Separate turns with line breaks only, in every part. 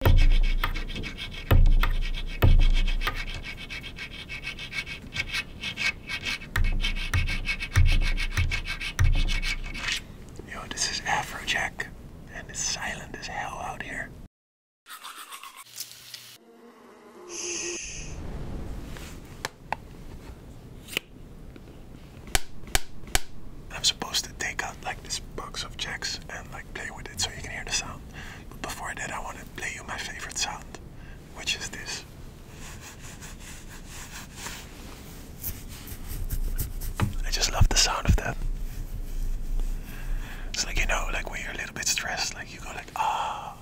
Yo, this is Afro Jack, and it's silent as hell out here. I'm supposed to take out like this box of checks and like play with it so you can hear the sound. But before that, I want to play you my favorite sound, which is this. I just love the sound of that. It's like you know, like when you're a little bit stressed, like you go like ah.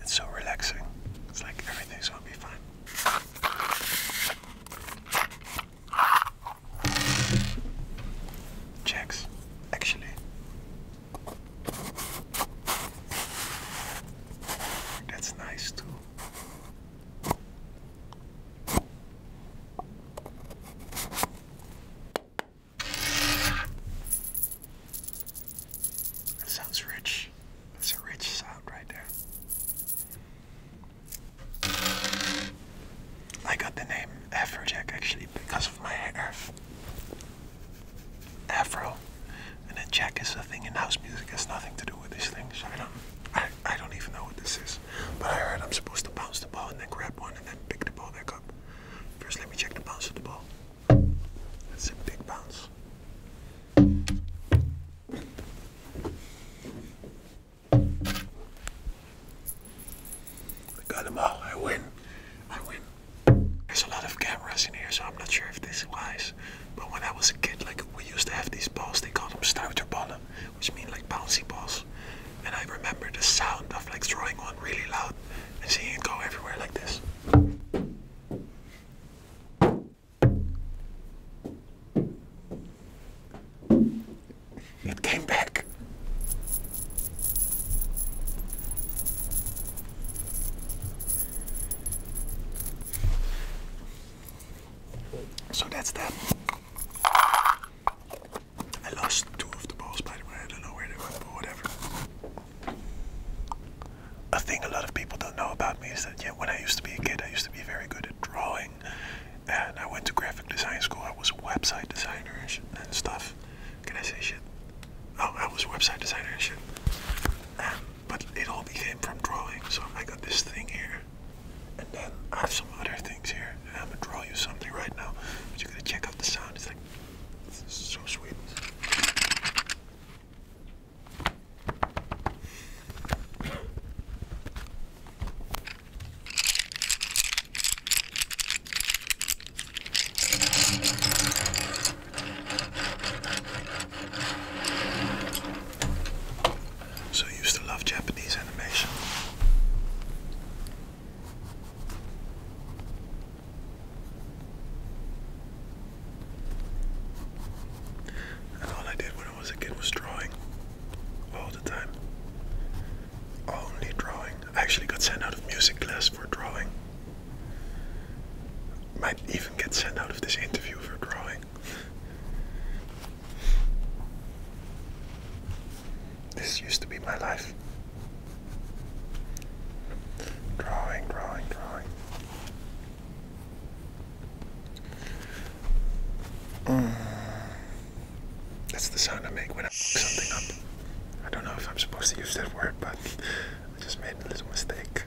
It's so relaxing. It's like everything's gonna be fine. Checks, actually. That's nice too. That sounds rich. That's a rich sound right there. I got the name Afrojack actually because of my hair. Afro. And then Jack is a thing in house music, it has nothing to do with this thing, so I don't I, I don't even know what this is. But I heard I'm supposed to bounce the ball and then grab one and then pick the ball back up. First let me check the bounce of the ball. That's a big bounce. I got them all. I win. I win. There's a lot of cameras in here, so I'm not sure if this is wise. But when I was a kid, like we used to have these balls. They called them stuiterballen, which mean like bouncy balls. And I remember the sound of like throwing one really loud and seeing it go everywhere like this. It came back. So that's that. I lost two of the balls, by the way. I don't know where they went, but whatever. A thing a lot of people don't know about me is that yeah, when I used to be a kid, I used to be very good at drawing and I went to graphic design school. I was a website designer and stuff. Can I say shit? Oh, I was a website designer and shit. Um, but it all became from drawing. So I got this thing here, and then I have some other things here. And I'm gonna draw you something right now. But you're gonna check out the sound. It's like so sweet. So you used to love Japanese animation. And all I did when I a kid was drawing all the time. Only drawing. I actually got sent out of music class for drawing. Might even get sent out of this interview for drawing. this used to be my life. Drawing, drawing, drawing. That's the sound I make when I pick something up. I don't know if I'm supposed to use that word, but I just made a little mistake.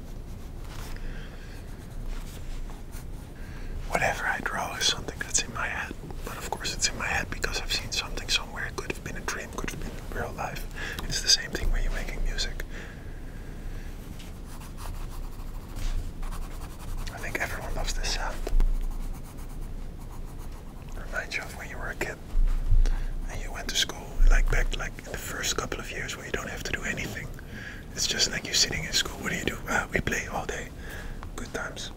Whatever I draw is something that's in my head, but of course it's in my head because I've seen something somewhere. It could have been a dream, could have been real life. It's the same thing when you're making music. I think everyone loves this sound. Reminds you of when you were a kid and you went to school, like back like in the first couple of years where you don't have to do anything. It's just like you're sitting in school. What do you do? Ah, we play all day. Good times.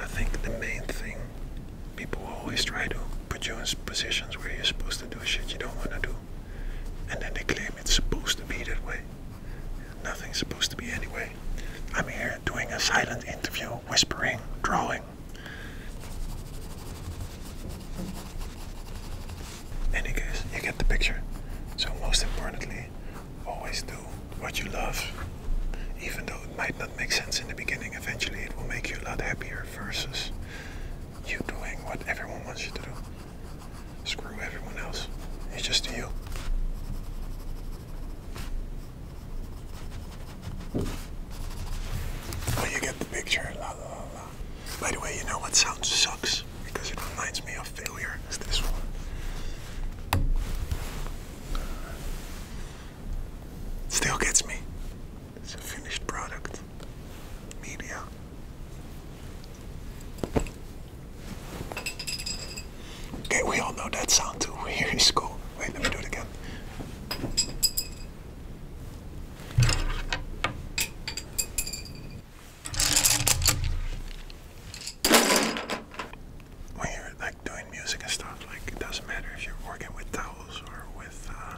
I think the main thing people always try to put you in positions where you're supposed to do shit you don't want to do, and then they claim it's supposed to be that way. Nothing's supposed to be anyway. I'm here doing a silent interview, whispering, drawing going. you get the picture. So most importantly, always do what you love. Even though it might not make sense in the beginning, eventually it will make you a lot happier versus you doing what everyone wants you to do. Screw everyone else. It's just you. Oh, you get the picture. La, la, la. By the way, you know what sound sucks? Because it reminds me of failure. Is this one? Still gets me. It's a finished product. Media. Okay, we all know that sound too. Here Here is cool. Wait, let me do it again. When you're like doing music and stuff, like it doesn't matter if you're working with towels or with uh,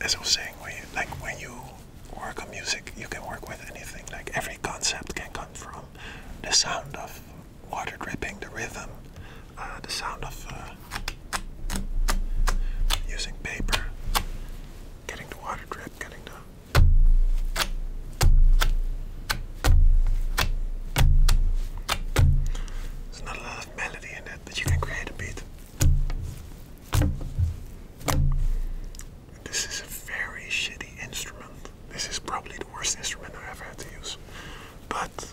as I was saying, when you, like when you work on music, you can work with anything. Like every concept can come from the sound of water dripping, the rhythm, uh, the sound of uh, using paper, getting the water drip, getting the there's not a lot of melody in it, but you can create a beat. This is a very shitty instrument. This is probably the worst instrument I have ever had to use. But.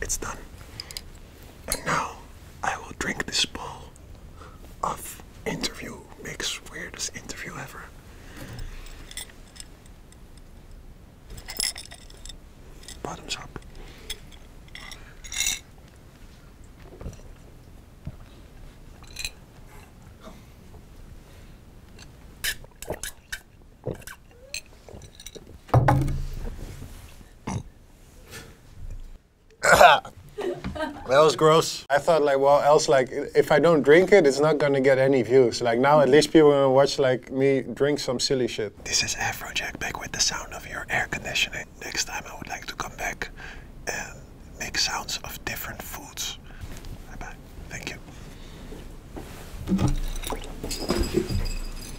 It's done. And now I will drink this bowl of interview makes weirdest interview ever. Bottoms up. that was gross. I thought like, well, else like, if I don't drink it, it's not gonna get any views. Like now, at least people are gonna watch like me drink some silly shit. This is Afrojack back with the sound of your air conditioning. Next time, I would like to come back and make sounds of different foods. Bye bye. Thank you.